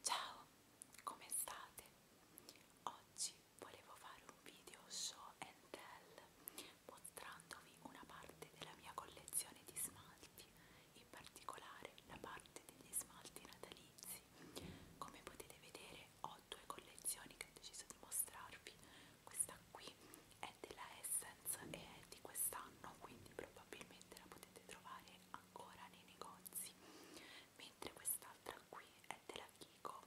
Ciao, come state? Oggi volevo fare un video show and tell mostrandovi una parte della mia collezione di smalti, in particolare la parte degli smalti natalizi. Come potete vedere ho due collezioni che ho deciso di mostrarvi. Questa qui è della Essence e è di quest'anno, quindi probabilmente la potete trovare ancora nei negozi mentre quest'altra qui è della Kiko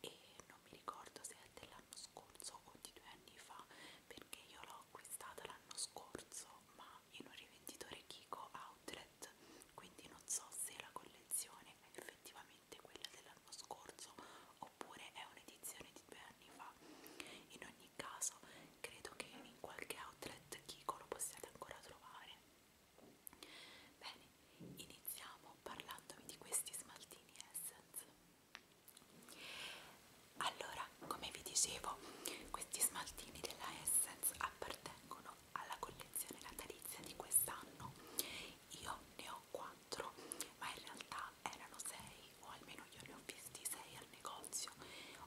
e non mi ricordo se è dell'anno scorso o di due anni fa perché io l'ho acquistata l'anno scorso ma in un rivenditore Kiko Outlet quindi non so se la collezione è effettivamente quella dell'anno scorso oppure è un'edizione di due anni fa in ogni caso credo che in qualche outlet Kiko lo possiate ancora trovare. Bene, iniziamo parlandovi di questi smaltini Essence. Allora, come vi dicevo, questi smaltini della Essence appartengono alla collezione natalizia di quest'anno. Io ne ho 4, ma in realtà erano 6, o almeno io ne ho visti 6 al negozio.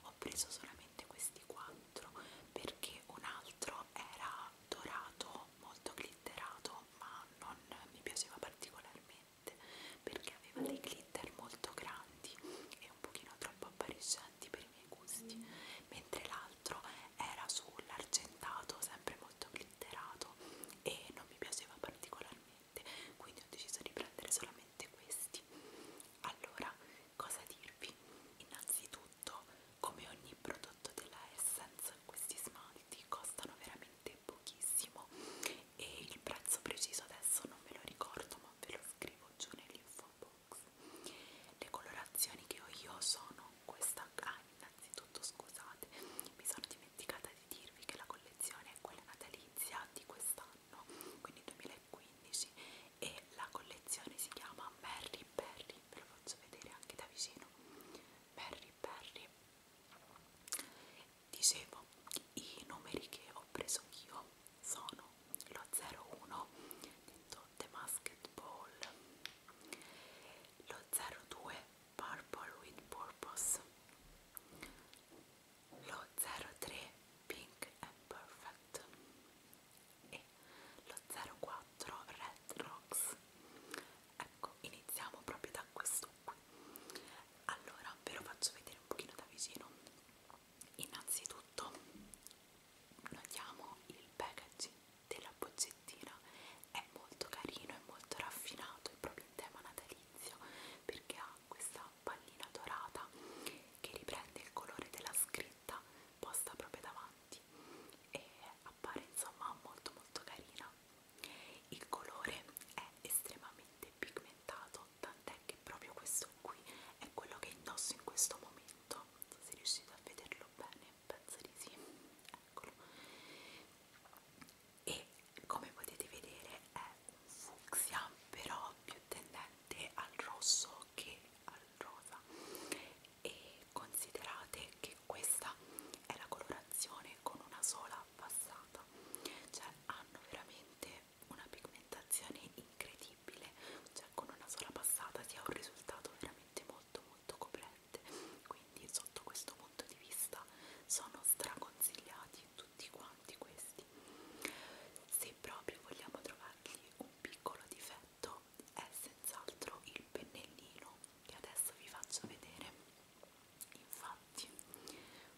Ho ho preso solamente questi quattro perché un altro era dorato, molto glitterato, ma non mi piaceva particolarmente perché aveva dei glitter molto grandi e un pochino troppo appariscenti per i miei gusti, mentre l'altro era sull'argentato, sempre molto glitterato e non mi piaceva particolarmente, quindi ho deciso di prendere solamente questi. Allora, Cosa dirvi? Innanzitutto, come ogni prodotto della Essence, questi smalti costano veramente pochissimo e il prezzo preciso adesso non ve lo ricordo, ma ve lo scrivo giù nell'info box. Le colorazioni che ho io sono questa ah, innanzitutto scusate, mi sono dimenticata di dirvi che la collezione è quella natalizia di quest'anno anno, quindi 2015 e la collezione si chiama Mary Perry, ve lo faccio vedere anche da vicino, Mary Perry. Dicevo, i numeri che ho preso io sono lo 01 detto The Masked Ball, lo 02 Purple with Purpose, lo 03 Pink and Perfect, e lo 04 Red Rocks ecco iniziamo proprio da questo qui allora ve lo faccio vedere un pochino da vicino innanzitutto notiamo il packaging della boccettina è molto carino, è molto raffinato, è proprio in tema natalizio perché ha questa pallina dorata che riprende il colore della scritta posta proprio davanti e appare insomma molto molto carina il colore è estremamente pigmentato tant'è che proprio questo qui è quello che indosso in questo momento non so se riuscite a vederlo bene penso di sì eccolo e come potete vedere è un fucsia però più tendente al rosso che al rosa e considerate che questa è la colorazione con una sola passata cioè hanno veramente una pigmentazione incredibile cioè con una sola passata si ha un risultato veramente molto molto coprente quindi sotto questo punto di vista sono straconsigliati tutti quanti questi se proprio vogliamo trovargli un un piccolo difetto è senz'altro il pennellino che adesso vi faccio vedere infatti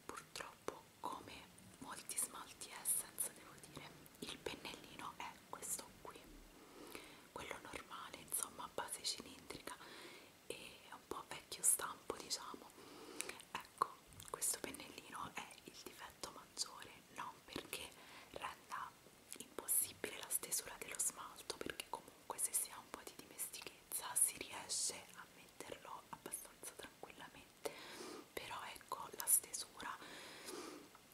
purtroppo come molti smalti essence devo dire il pennellino è questo qui quello normale insomma a base cilindrica e un po' vecchio stampo diciamo ecco questo pennellino è il difetto ma maggiore non perché renda impossibile la stesura dello smalto perché comunque se si ha un po' di dimestichezza si riesce a metterlo abbastanza tranquillamente però ecco la stesura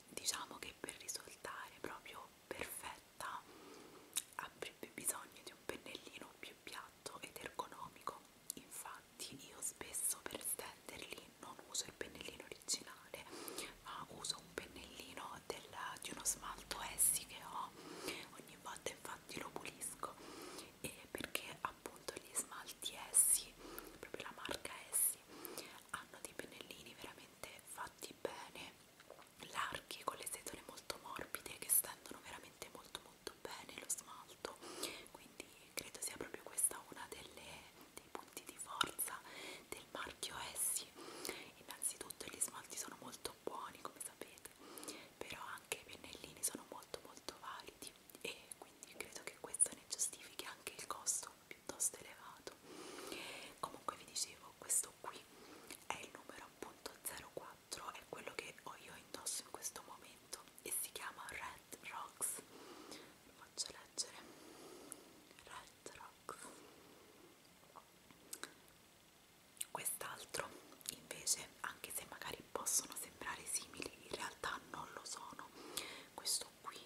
diciamo che per risultare proprio perfetta avrebbe bisogno di un pennellino più piatto ed ergonomico infatti io spesso per stenderli non uso il pennellino originale ma uso un pennellino della, di uno smalto essi che ho ogni volta infatti lo pulisco e perché appunto gli smalti essi proprio la marca essi hanno dei pennellini veramente fatti bene larghi con le setole molto morbide che stendono veramente molto molto bene lo smalto quindi credo sia proprio questa una delle dei punti di forza del marchio Essi innanzitutto gli smalti sono molto buoni come sapete però anche i pennellini sono molto molto validi e quindi credo che questo ne giustifichi anche il costo piuttosto elevato comunque vi dicevo questo qui è il numero appunto 04 è quello che ho io indosso in questo momento e si chiama Red Red Rocks vi faccio leggere Red Rocks quest'altro invece anche se magari possono sembrare simili in realtà non lo sono questo qui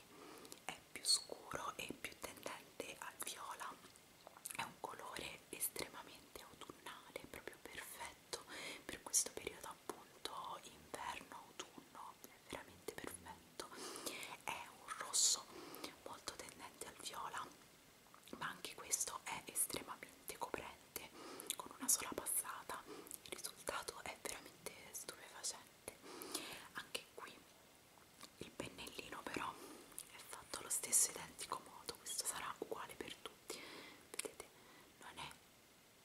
è più scuro e più tendente al viola è un colore estremamente autunnale proprio perfetto per questo periodo appunto inverno autunno è veramente perfetto è un rosso molto tendente al viola ma anche questo è estremamente coprente con una sola passata il risultato è veramente stupefacente anche qui il pennellino però è fatto allo stesso identico modo questo sarà uguale per tutti vedete non è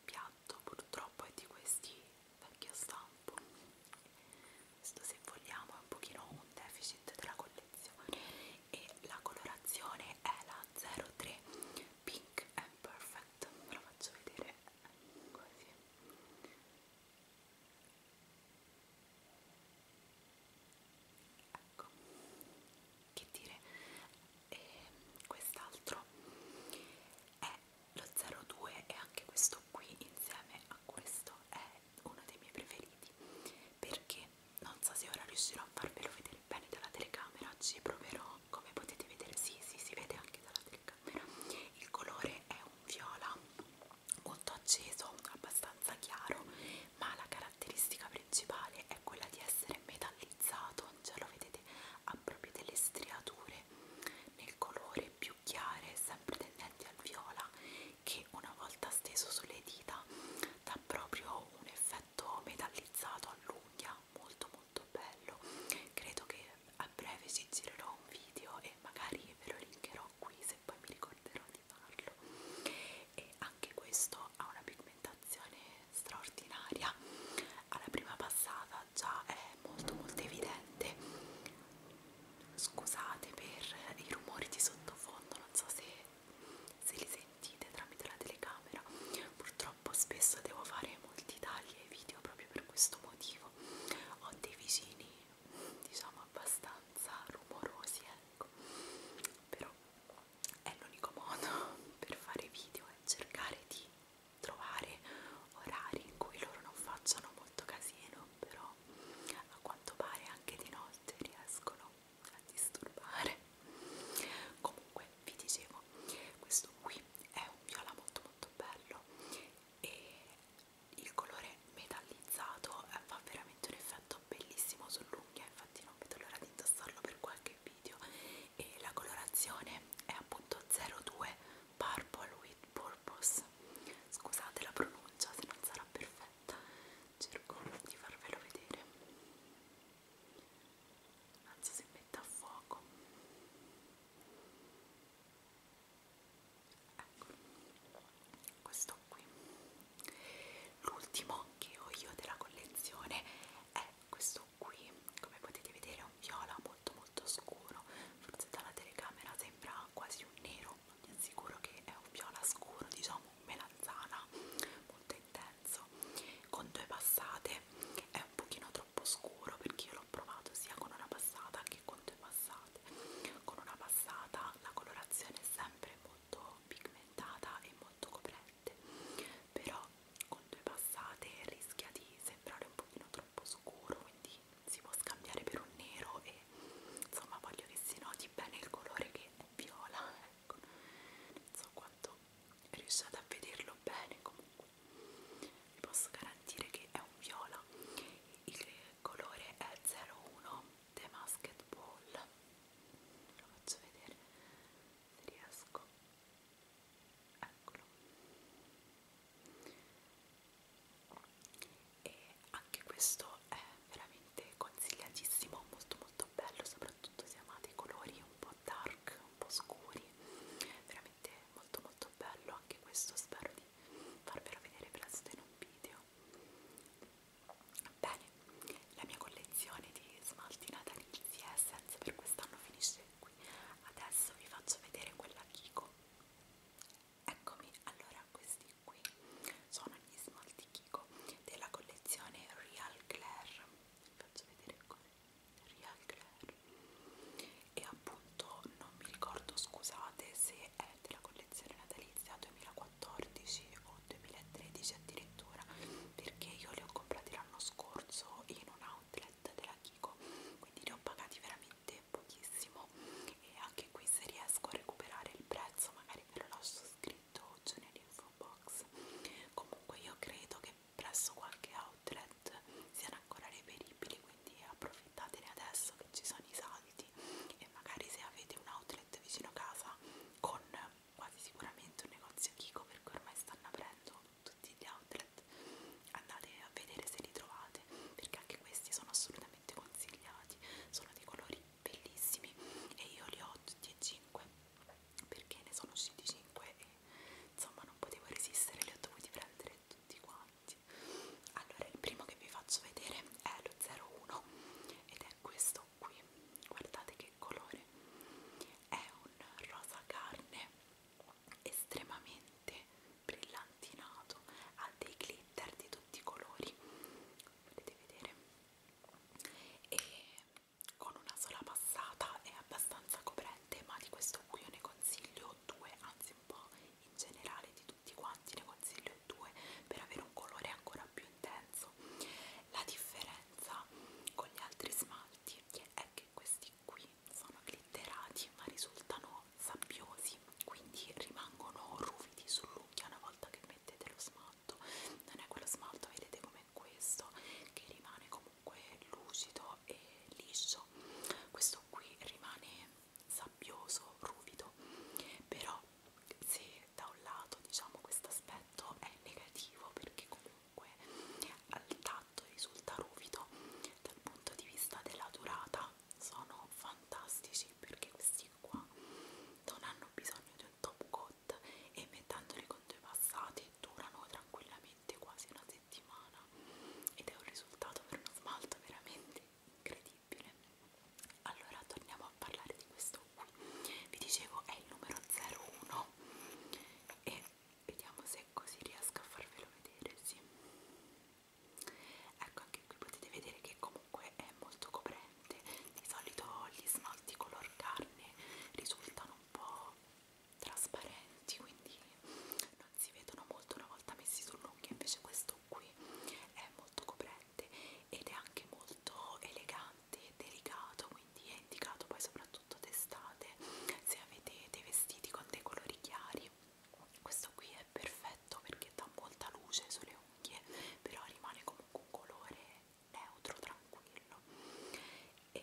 piatto purtroppo è di questi vecchio stampo questo se vogliamo è un pochino un deficit della collezione e la colorazione è la 03 Pink and Perfect ve lo faccio vedere così ecco che dire e quest'altro è lo 02 e anche questo qui insieme a questo è uno dei miei preferiti perché non so se ora riuscirò a farvelo vedere bene dalla telecamera ci proverò come potete vedere sì sì si vede anche dalla telecamera il colore è un viola molto acceso abbastanza chiaro ma la caratteristica principale è quella di essere metallizzato già lo vedete ha proprio delle striature nel colore più chiare sempre tendenti al viola che una volta steso sulle dita dà proprio un effetto metallizzato all'unghia molto molto bello credo che a breve ci girerò un video e magari ve lo linkerò qui se poi mi ricorderò di farlo e anche questo ha una pigmentazione straordinaria alla prima passata cosa già è molto molto evidente scusate per i rumori di sottofondo non so se, se li sentite tramite la telecamera purtroppo spesso devo fare molti tagli ai video proprio per questo motivo ho dei vicini diciamo abbastanza rumorosi ecco però è l'unico modo per fare video è cercare di trovare orari in cui loro non facciano molto casino, però a quanto pare anche di notte riescono a disturbare. Comunque vi dicevo, questo qui è un viola molto molto bello e il colore metallizzato eh, fa veramente un effetto bellissimo sull'unghia, infatti non vedo l'ora di indossarlo per qualche video e la colorazione è appunto 02 Purple with Purpose scusate la pronuncia se non sarà perfetta cerco di farvelo vedere anzi si mette a fuoco ecco questo qui l'ultimo che ho io della collezione è questo qui come potete vedere è un viola molto molto scuro forse dalla telecamera sembra quasi un nero ma vi assicuro che è un viola scuro diciamo un melanzana molto intenso con due passate è un pochino troppo scuro perché io l'ho provato sia con una passata che con due passate con una passata la colorazione è sempre molto pigmentata e molto coprente però con due passate rischia di sembrare un pochino troppo troppo scuro quindi si può scambiare per un nero e insomma voglio che si noti bene il colore che è viola ecco. non so quanto riusciate a vederlo bene comunque vi posso garantire che è un viola il colore è 01 The Masked Ball lo faccio vedere se riesco eccolo e anche questo è veramente consigliatissimo molto molto bello soprattutto se amate i colori un po' dark un po' scuri veramente molto molto bello anche questo spero di farvelo vedere presto in un video bene la mia collezione di smalti natalizi e essenze per quest'anno finisce qui adesso vi faccio vedere quella Kiko Eccomi, allora questi qui sono gli smalti Kiko della collezione Real Claire. Vi faccio vedere come Real Claire. E appunto non mi ricordo, scusate, se è della collezione natalizia 2014 o 2013 addirittura, perché io li ho comprati l'anno scorso in un outlet della Kiko, quindi li ho pagati veramente veramente pochissimo e anche qui se riesco a recuperare il prezzo magari ve lo lascio scritto giù nell'info box comunque io credo che presso qualche outlet siano ancora reperibili quindi approfittatene adesso che ci sono i saldi e magari se avete un outlet vicino casa con quasi sicuramente un negozio Kiko perché ormai stanno aprendo tutti gli outlet andate a vedere se li trovate perché anche questi sono assolutamente consigliati sono dei colori bellissimi e io li ho tutti e 5 perché ne sono usciti 5 e insomma non potevo resistere li ho dovuti prendere tutti quanti allora il primo che vi faccio vedere è lo 01 ed è questo qui guardate che colore è un rosa carne estremamente brillantinato ha dei glitter di tutti i colori potete vedere e con una sola passata è abbastanza coprente ma di questo qui io ne consiglio due anzi un po' in generale di tutti quanti ne consiglio due per avere un colore ancora più intenso la differenza con gli altri smalti è che questi qui sono glitterati ma risultano sabbiosi quindi rimangono ruvidi sull'unghia una volta che mettete lo smalto non è quello smalto vedete come questo che rimane comunque lucido e liscio questo qui rimane sabbioso ruvido però se da un lato diciamo questo aspetto è negativo perché comunque al tatto tratto risulta ruvido dal punto di vista della durata sono fantastici perché questi qua non hanno bisogno di un top coat e mettendoli con due passati durano tranquillamente quasi una settimana ed è un risultato per uno smalto veramente incredibile allora torniamo a parlare di questo qui vi dicevo è il numero 01 e vediamo se così riesco a farvelo vedere sì ecco anche qui potete vedere che comunque è molto coprente di solito gli smalti color carne risultano un po' trasparenti quindi non si vedono molto una volta messi sull'unghia invece questo qui è molto coprente ed è anche molto elegante e delicato quindi è indicato poi soprattutto d'estate se avete dei vestiti con dei colori chiari questo qui è perfetto perché dà molta luce sulle unghie però rimane comunque un colore neutro tranquillo e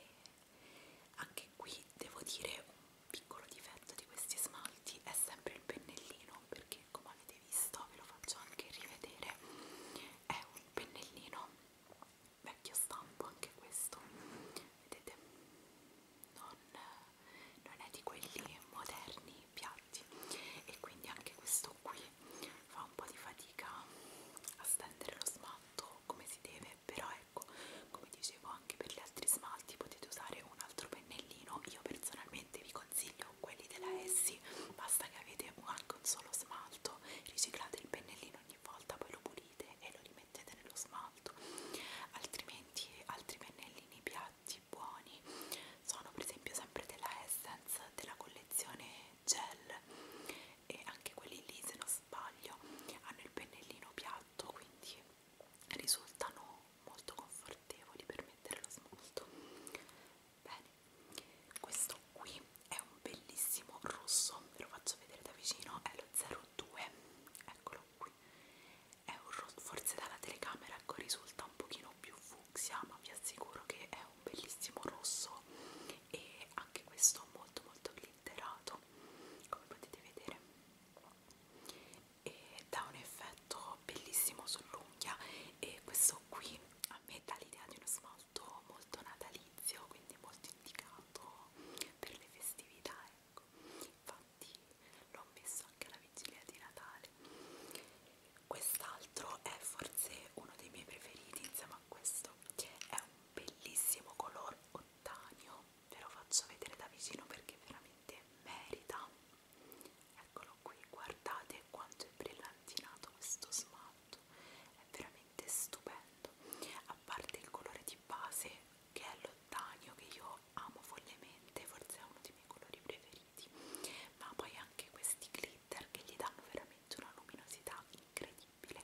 anche qui devo dire un piccolo difetto di questi smalti è sempre il pennellino perché come avete visto ve lo faccio anche rivedere è un pennellino vecchio stampo anche questo vedete non, non è di quelli moderni piatti e quindi anche questo qui fa un po' di fatica a stendere lo smalto come si deve però ecco come dicevo anche per gli altri smalti potete usare un altro pennellino io personalmente vi consiglio quelli della Essi basta che avete anche un solo smalto riciclate il pennellino ogni volta poi lo pulite e lo mettete nello smalto altrimenti altri pennellini piatti buoni sono per esempio sempre della Essence della collezione gel e anche quelli lì se non sbaglio hanno il pennellino piatto quindi risultano molto confortevoli per mettere lo smalto bene questo qui è un bellissimo rosso ve lo faccio vedere da vicino è lo 02 eccolo acqui. È un forse dalla telecamera ecco, risulta un pochino più fucsia, ma vi assicuro che è un bellissimo rosso e anche questo molto molto glitterato, come potete vedere. E dà un effetto bellissimo sull'unghia e questo qui a me dà l'idea di uno smalto molto natalizio, quindi molto indicato per le festività, ecco infatti l'ho messo anche alla vigilia di Natale quest'altro è forse uno dei miei preferiti insieme a questo è un bellissimo color ottanio ve lo faccio vedere da vicino perché veramente merita eccolo qui guardate quanto è brillantinato questo smalto è veramente stupendo a parte il colore di base che è l'ottanio che io lo amo follemente, forse è uno dei miei colori preferiti, ma poi anche questi glitter che gli danno veramente una luminosità incredibile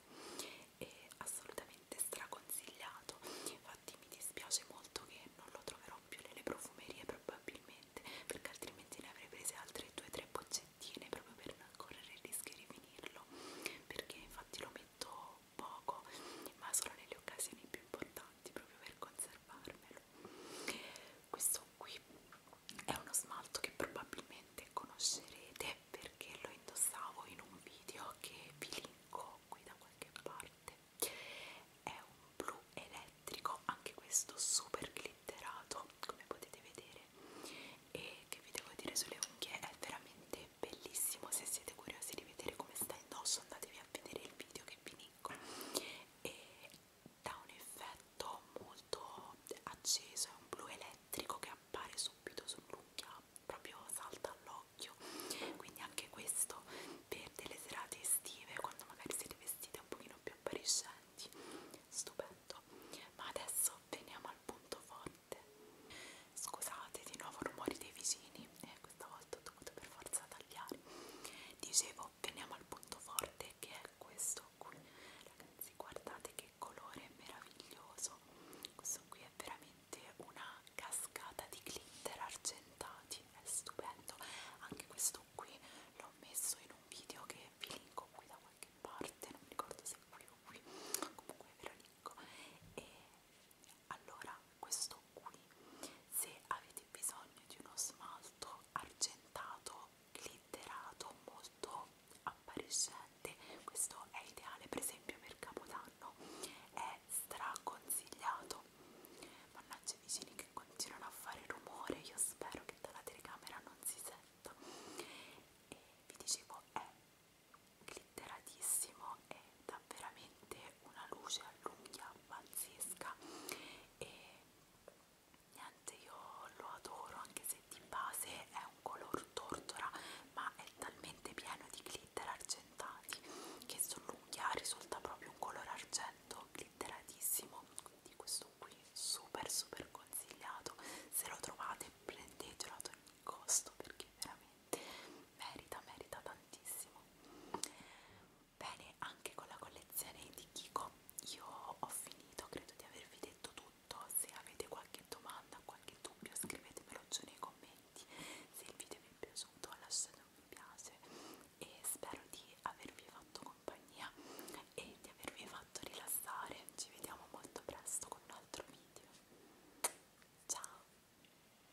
e assolutamente straconsigliato, infatti mi dispiace molto che non lo troverò più nelle profumerie probabilmente perché altrimenti ne avrei prese altre 2-3 boccettine proprio per non correre il rischio di finirlo perché infatti lo metto un poco, ma solo nelle occasioni più importanti, proprio per conservarmelo. Questo qui è uno smalto che probabilmente conoscerete perché lo indossavo in un video che vi linko qui da qualche parte. È un blu elettrico, anche questo super glitterato, come potete vedere. E che vi devo dire sulle unghie, è veramente bellissimo. Se siete curiosi di vedere come sta indosso, andatevi a vedere il video che vi linko e dà un effetto molto acceso, è un blu elettrico che appare subito sull'unghia, proprio salta all'occhio, quindi anche questo per delle serate estive quando magari siete vestite un pochino più appariscenti, stupendo. Ma adesso veniamo al punto forte. Scusate di nuovo rumori dei vicini, eh, questa volta ho dovuto per forza tagliare dicevo veniamo al punto forte che è questo qui ragazzi guardate che colore meraviglioso questo qui è veramente una cascata di glitter argentati è stupendo anche questo qui l'ho messo in un video che vi linko qui da qualche parte non mi ricordo se qui o qui comunque ve lo linko e allora questo qui se avete bisogno di uno smalto argentato glitterato molto appariscente questo è ideale per esempio per capodanno è straconsigliato mannaggia i vicini che continuano a fare rumore io spero che dalla telecamera non si senta e vi dicevo è glitteratissimo e dà veramente una luce all'unghia pazzesca e niente io lo adoro anche se di base è un color tortora ma è talmente pieno di glitter argentati che sull'unghia risulta proprio un colore argento glitteratissimo quindi questo qui super super consigliato se lo trovate prendetelo ad ogni costo perché veramente merita, merita tantissimo. Bene, anche con la collezione di Kiko io ho finito, credo di avervi detto tutto. Se avete qualche domanda, qualche dubbio, scrivetemelo giù nei commenti. Se il video vi è piaciuto, lasciate un mi piace e spero di avervi fatto compagnia e di avervi fatto rilassare. Ci vediamo molto presto con un altro video. Ciao!